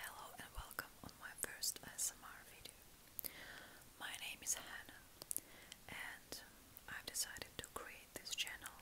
Hello and welcome on my first ASMR video. My name is Hannah and I've decided to create this channel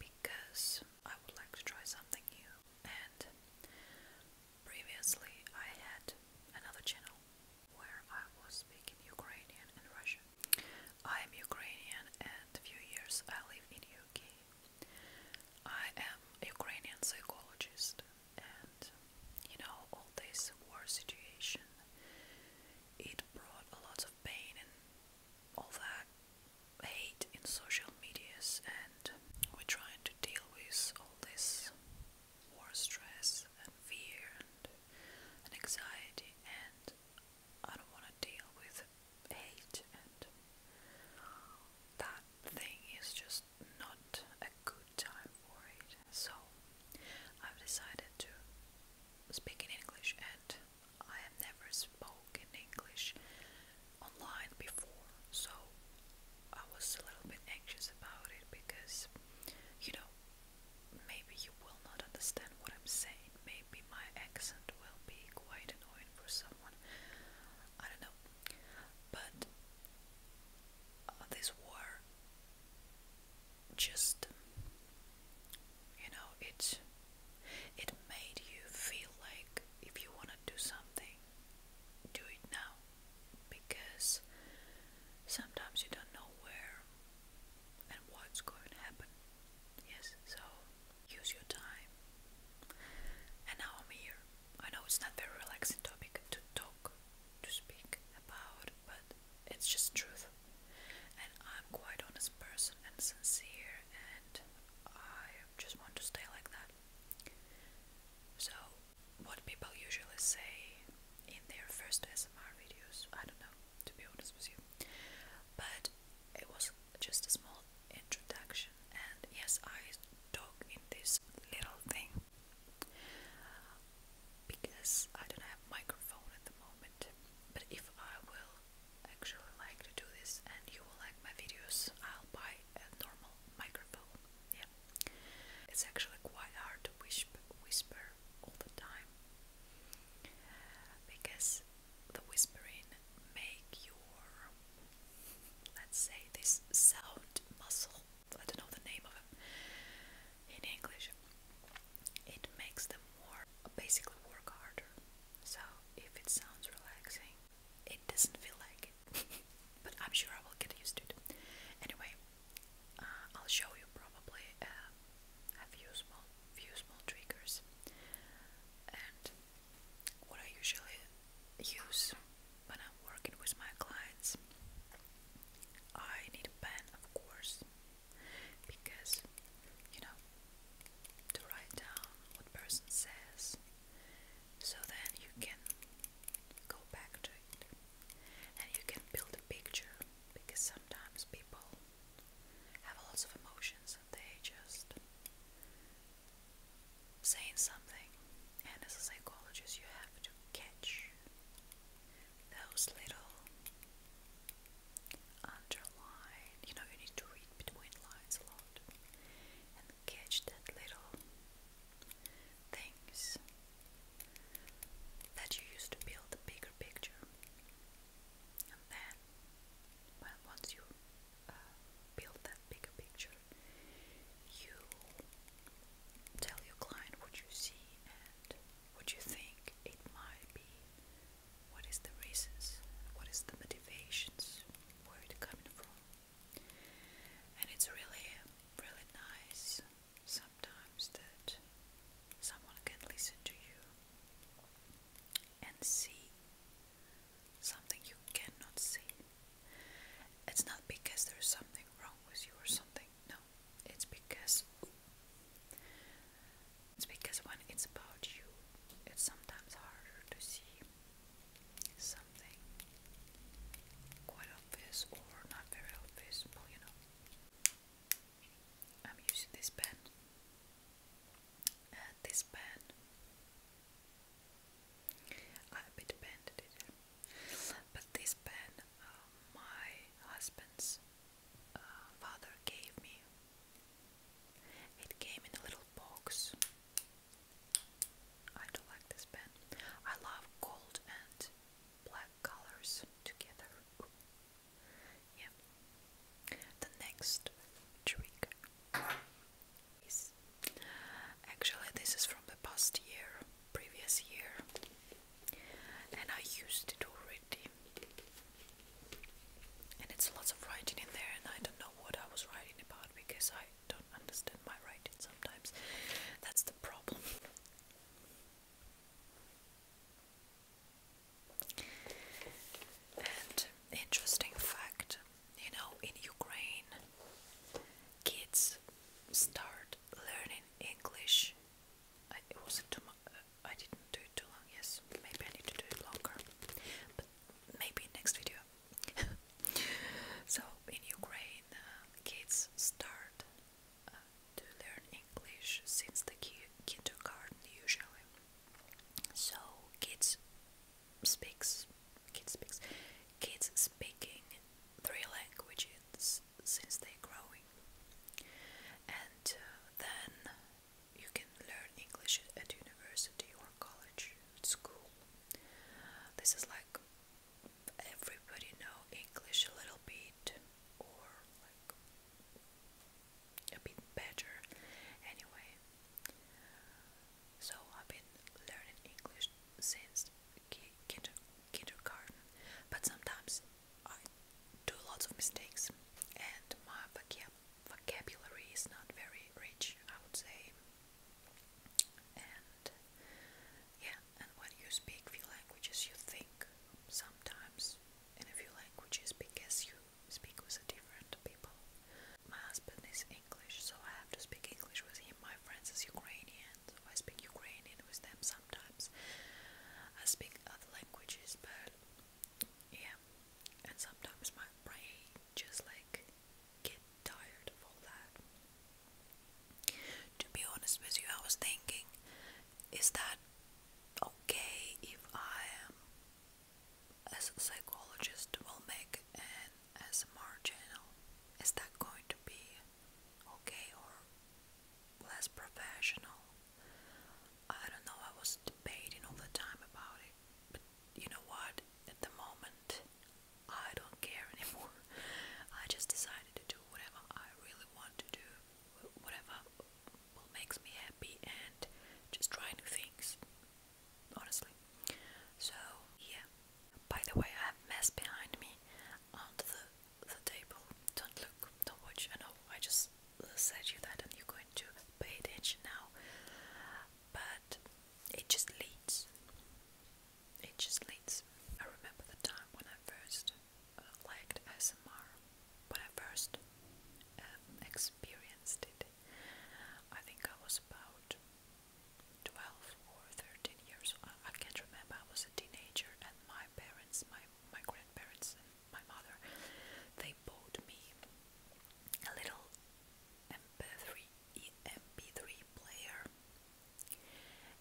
because I would like to try something new and previously I had another channel where I was speaking Ukrainian and Russian. I am Ukrainian and a few years I live in Ukraine. I am a Ukrainian psychologist, and you know, all this war situation, it brought a lot of pain and all that hate in social medias, and we're trying to deal with all this war stress and fear and, and anxiety and I don't want to deal with with and that thing is just not a good time for it. So I've decided to speak in English and I have never spoken English online before so I was a little bit anxious about it because you know maybe you will not understand what I'm saying maybe my accent will be quite annoying for someone I don't know. But uh, this war just you know it it made you feel like if you want to do something do it now because sometimes you don't know where and what's going to happen yes so use your time. And now I'm here. I know it's not very relaxing topic to talk, to speak about, but it's just truth. And I'm quite honest person and sincere, and I just want to stay like that. So, what people usually say in their first SMR videos, I don't know, to be honest with you. But it was just a small introduction. And yes, I talk in this little thing because I don't have microphone at the moment. But if I will actually like to do this and you will like my videos, I'll buy a normal microphone. Yeah. It's actually quite hard to whisper, whisper all the time because the whispering make your let's say this sound muscle I don't know the name of it in English it makes them more basically work harder so if it sounds relaxing it doesn't feel like it but I'm sure I will get used to it anyway uh, I'll show you probably uh, a few small few small triggers and what I usually use when I'm working with my clients. I need a pen, of course, because you know, to write down what person says, so then you can go back to it and you can build a picture because sometimes people have lots of emotions they just saying something, and as a psychologist, you have to catch those little underline. You know, you need to read between lines a lot and catch that little things that you use to build the bigger picture and then well once you uh, build that bigger picture you tell your client what you see and what you think it might be what is the reasons what is the motivations where it coming from and it's really really nice sometimes that someone can listen to you and see something you cannot see. It's not because there's something wrong with you or something. No, it's because it's because when it's about you, it's sometimes harder to see something quite obvious or not very obvious. Well, you know, I'm using this pen uh, this pen. I a bit bended it, but this pen uh, my husband's uh, father gave me. It came in a little box. I like this pen. I love gold and black colors together. Yeah. The next trick is actually this is from the past year, previous year, and I used it already. And it's lots of writing in there, and I don't know what I was writing about because I don't understand my writing sometimes. That's the problem. And interesting fact, you know, in Ukraine, kids start learning English. I, it wasn't too much. Uh, I didn't do it too long. Yes, maybe I need to do it longer, but maybe next video. so in Ukraine, uh, kids start uh, to learn English since the kindergarten usually. So kids speaks kids speaks kids speaking three languages since they're growing. And uh, then you can learn English at university or college, school. This is like everybody know English a little bit or like a bit better anyway. So I've been learning English since kindergarten, but sometimes I do lots of mistakes and my vocab vocabulary is not very rich, I would say. And yeah, and when you speak few languages, you think sometimes in a few languages because you speak with different people. My husband is English, so I have to speak English with him. My friends is Ukrainian, so I speak Ukrainian with them sometimes. I speak other languages, but yeah, and sometimes my brain just like get tired of all that. To be honest with you, I was thinking, is that okay if I am as a psychologist will make an SMR channel. Is that going to be okay or less professional? I don't know, I was debating all the time about it. But you know what? At the moment I don't care anymore. I just decided to do whatever I really want to do whatever makes me happy and just try new things honestly so yeah by the way i have mess behind me on the the table don't look don't watch i know i just uh, said you that and you're going to pay attention now but it just leads it just leads i remember the time when i first liked ASMR, but I first um, experienced it. I think I was about 12 or 13 years I can't remember. I was a teenager, and my parents, my my grandparents, my mother, they bought me a little MP3 MP3 player.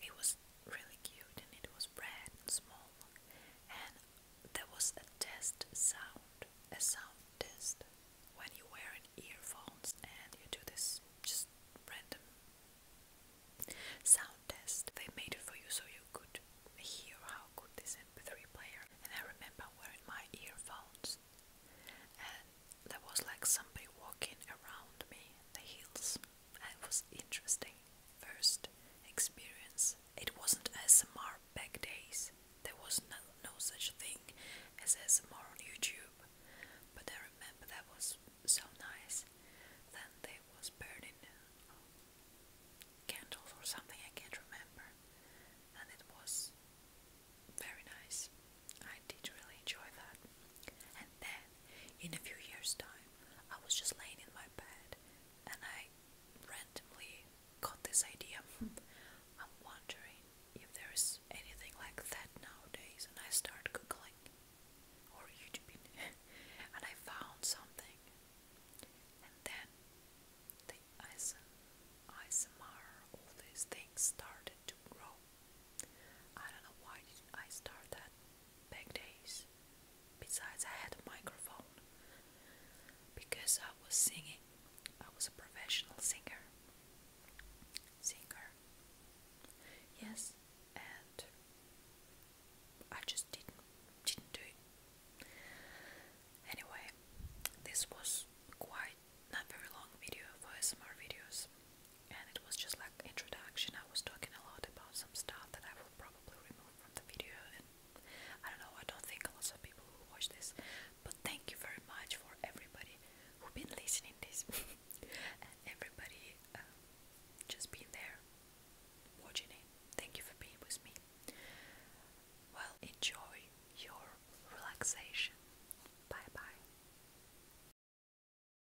It was really cute and it was bright and small and there was a test sound a sound test when you wear an earphones and you do this just random sound test they made it for you so you could hear how good this mp3 player and I remember wearing my earphones and there was like somebody walking around me in the hills and it was interesting first experience. It wasn't SMR back days. There was no, such thing as SMR on YouTube. But I remember that was so nice. Then there was burning um, candles or something, I can't remember. And it was very nice. I did really enjoy that. And then, in a few years' time, I was just laying in my bed and I randomly got this idea. I'm wondering if there is anything like that nowadays, and I started googling or YouTubing and I found something, and then the ASMR, all these things started to grow. I don't know why did I start that back days. Besides, I had a microphone. Because I was singing, I was a professional singer. Singer. Yes, and I just didn't didn't do it. Anyway, this was quite not very long video for SMR videos and it was just like introduction. I was talking a lot about some stuff that I will probably remove from the video, and I don't know. I don't think lots of people will watch this, but thank you very much for everybody who've been listening this, and everybody um, just being there, watching it. Thank you for being with me. Well, enjoy your relaxation. Bye bye.